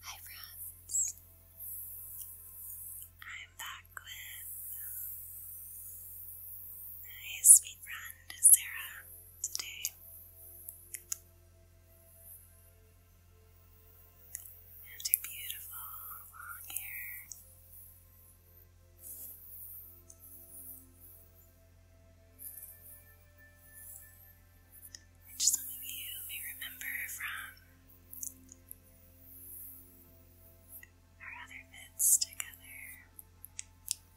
Hi friends, I'm back with my sweet friend Sarah today. And her beautiful long hair which some of you may remember from our other bits together,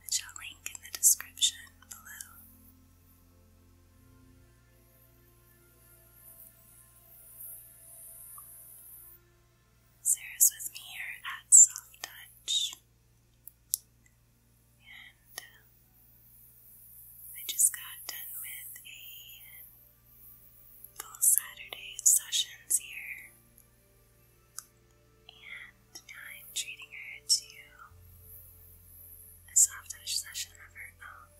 which I'll link in the description below. Sarah's with me here at Soft Touch, uh, I just got done with a full Saturday of sessions here, and I'm treating her to a soft touch session of her own.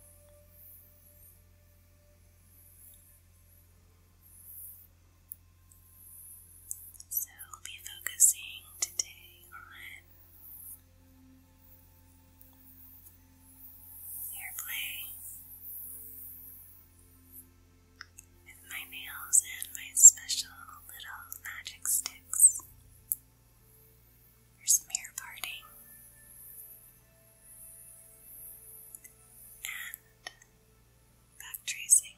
So we'll be focusing today on Airplay with my nails and my special little magic sticks for smear parting. And back tracing.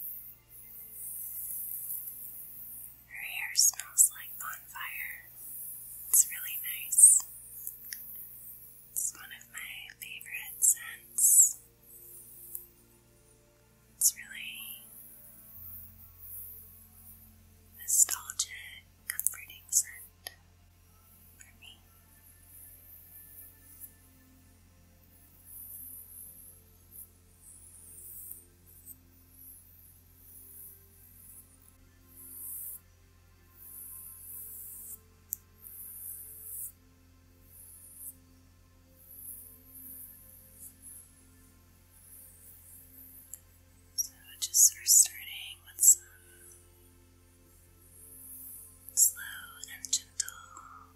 Her hair smells like bonfire. It's really nice. It's one of my favorite scents. It's really nostalgic, comforting scent for me. So just sort starting with some slow and gentle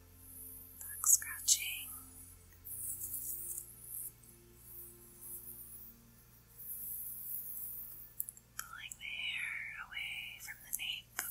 scratching. Pulling the hair away from the nape.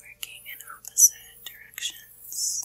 Working in opposite directions.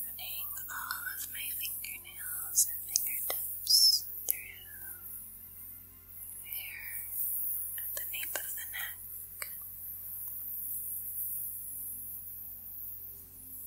Running all of my fingernails and fingertips through hair at the nape of the neck.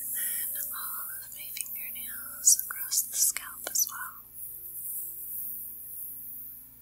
And then all of my fingernails across the scalp as well.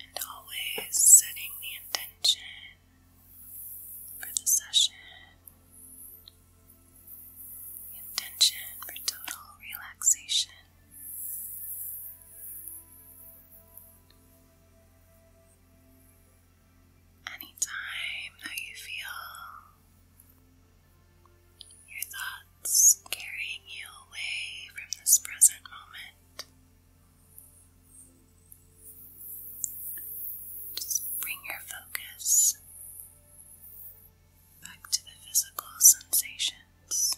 And always setting the intention for the session, the intention for total relaxation. Anytime that you feel your thoughts carrying you away from this present moment. Just bring your focus back to the physical sensations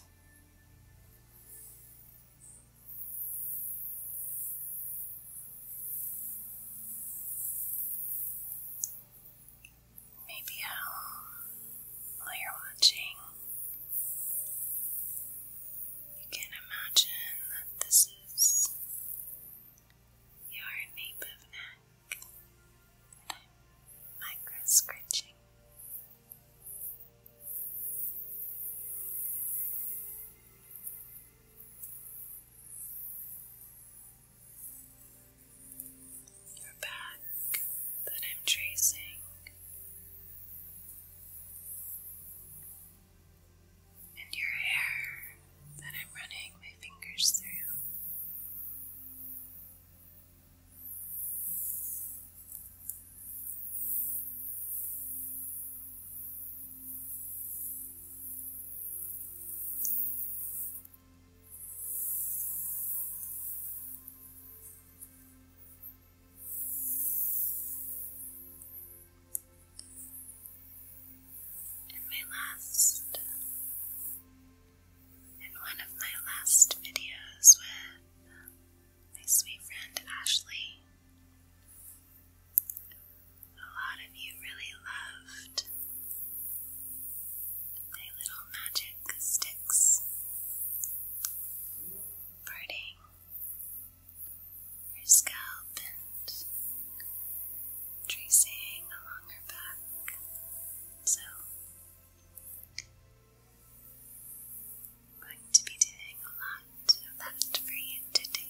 maybe at home while you're watching. You can imagine that this is your native neck that I'm micro your back that I'm tracing. And your hair that I'm running my fingers through. In my last, in one of my last videos with my sweet friend Ashley, a lot of you really loved Thy little magic sticks, burning her scalp and tracing along her back. So, going to be doing a lot of that for you today.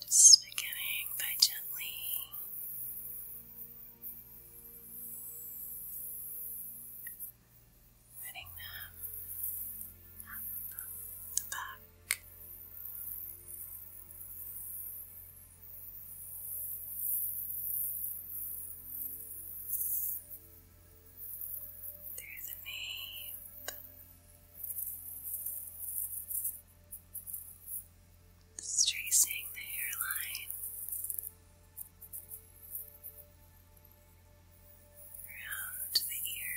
Just beginning by gently letting them up the back through the nape, tracing the hairline around the ear.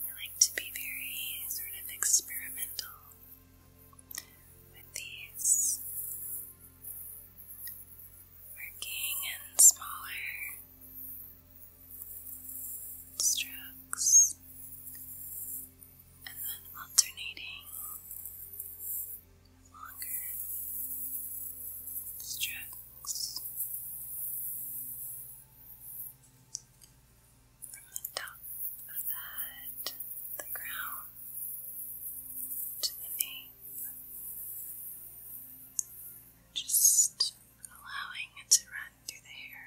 I like to be very sort of experimental with these, working in smaller strokes and then alternating longer strokes from the top of the the crown, to the knee. Just allowing it to run through the hair.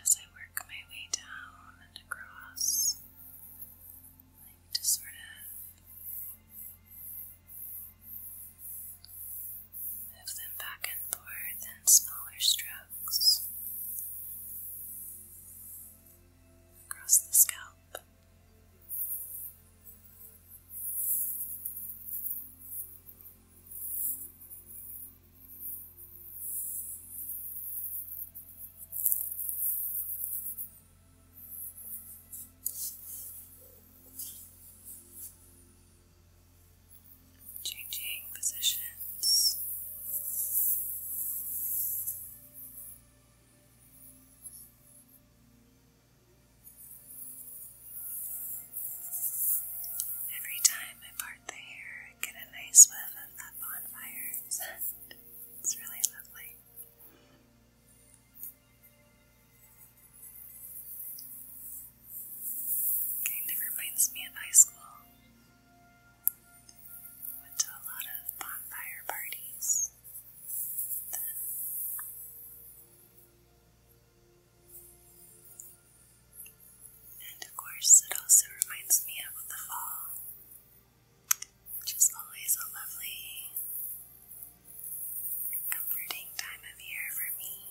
As I work my way down and across, like to sort of Move them back and forth in smaller strokes across the scalp changing positions. Every time I part the hair, I get a nice whiff of that bonfire scent. It's really lovely. Kind of reminds me of high school. Went to a lot of bonfire parties And of course, it also reminds me of the fall, which is always a lovely comforting time of year for me.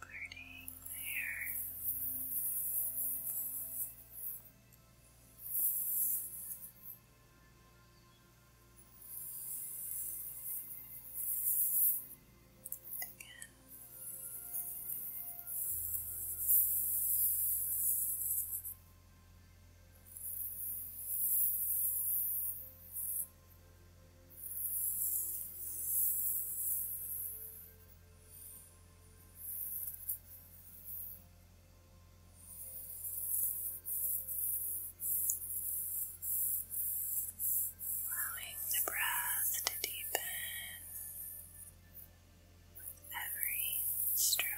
Parting there. Again. Allowing the breath to deepen with every stroke.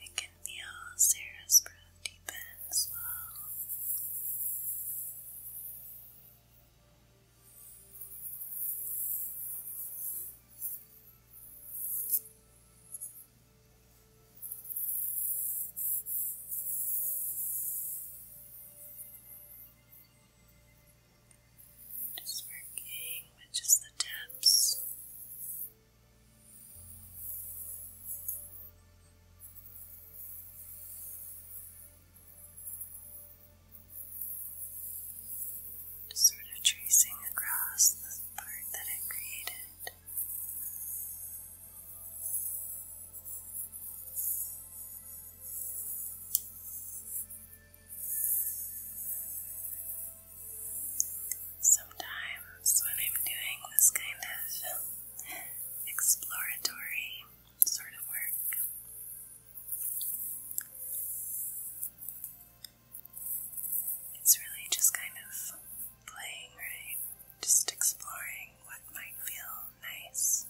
I can feel Sarah's breath deepen as well. Just working with just the tips. Just sort of tracing across the part that I created. Sometimes, when I'm doing this kind of exploratory sort of work, it's really just kind of playing, right? Just exploring what might feel nice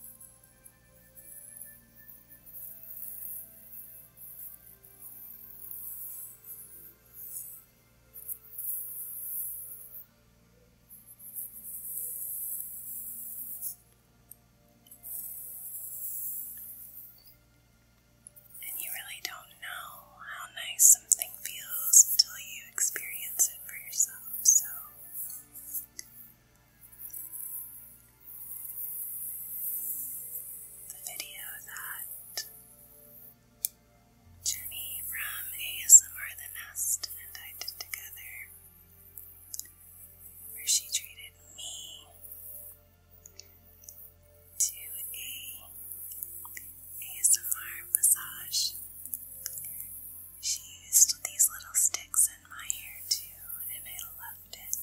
and you really don't know how nice something feels until you experience it for yourself. So, the video that Jenny from ASMR The Nest and I did together, where she treated me do a ASMR massage. She used these little sticks in my hair too, and I loved it.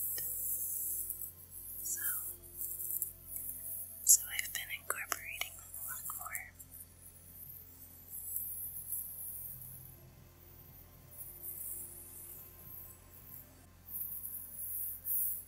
So, so I've been incorporating a lot more.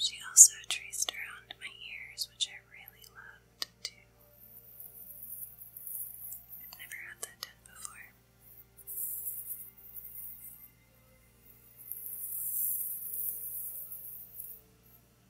She also traced around my ears, which I really loved too. I've never had that done before.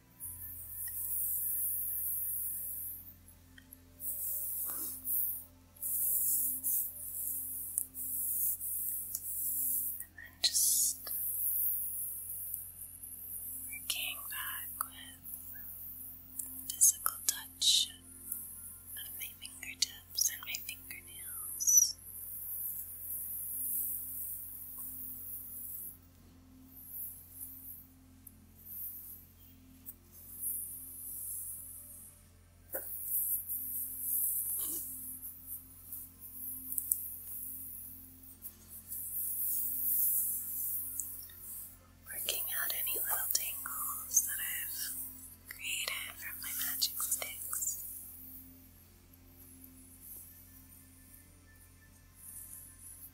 And then just working back with physical touch of my fingertips and my fingernails. Working out any little tangles that I've created from my magic sticks.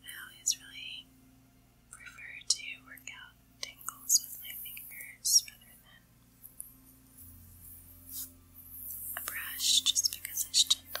I always really prefer to work out tingles with my fingers rather than a brush just because it's gentler.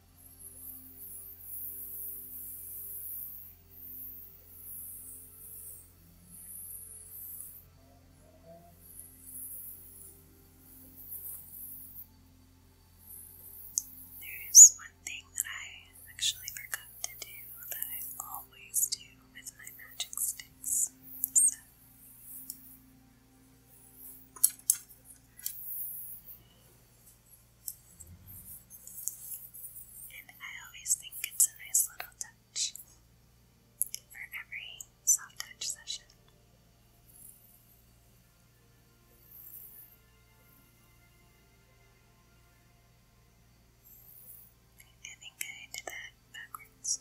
There is one thing that I actually forgot to do that I always do with my magic sticks. So. And I always think it's a nice little touch for every soft touch session. I think I did that backwards.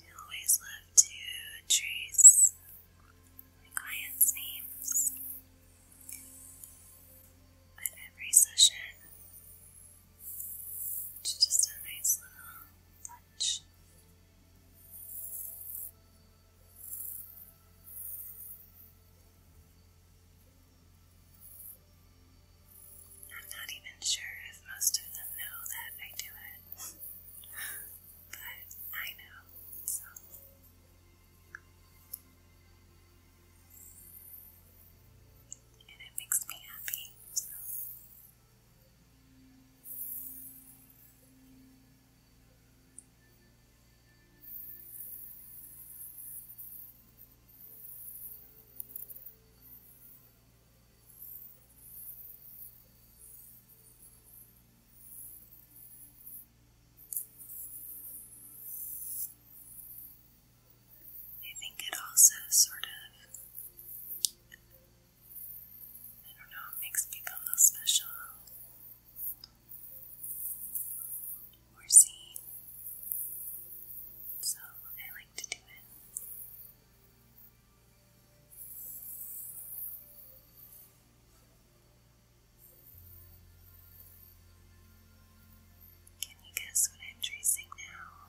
I always love to trace my clients' names at every session. just a nice little touch. I'm not even sure if most of them know that I do it, but I know, so. And it makes me happy, I think it also sort of, I don't know, makes people feel special or seen. So I like to do it. Can you guess what I'm tracing now?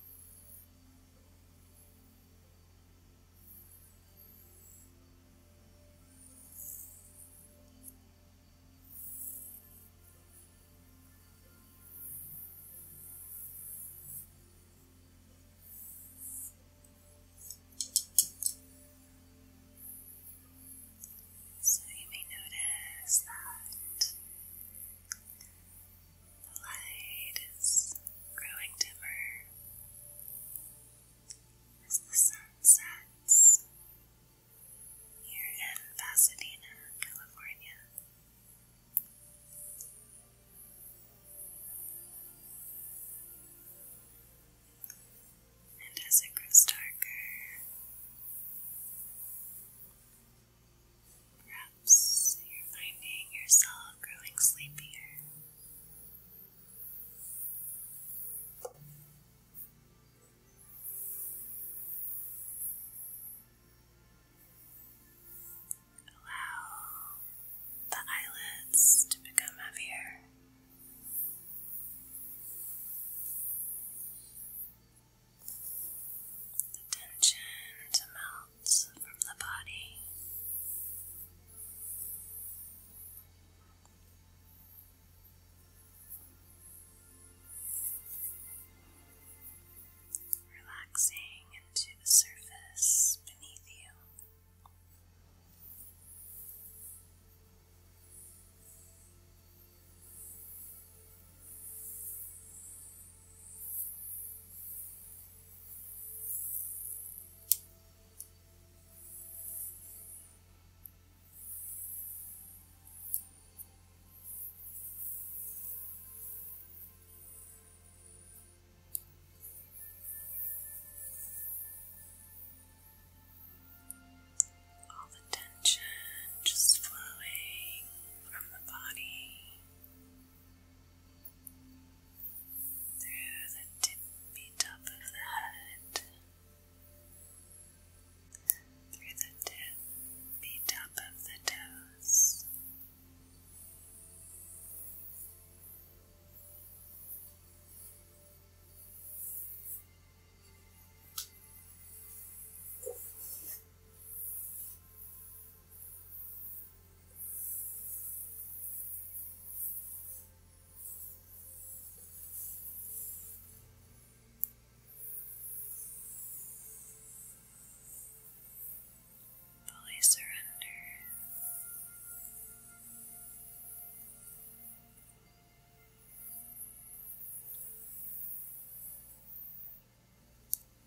So you may notice that the light is growing dimmer as the sun sets here in Pasadena, California. And as it grows darker, perhaps you're finding yourself growing sleepier. Allow the eyelids to become heavier. The tension to melt from the body. Relaxing into the surface beneath you. All the tension just flowing from the body through the tippy top of the head, through the tippy top of the toes. Fully surrender.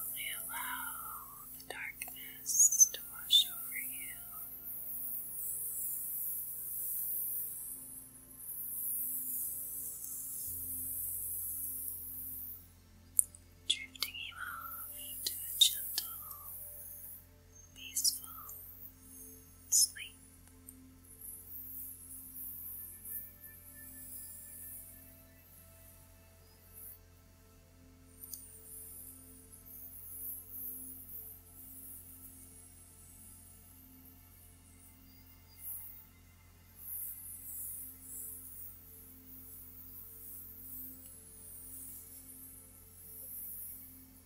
Only allow the darkness to wash over you. Drifting you off into a gentle peaceful sleep.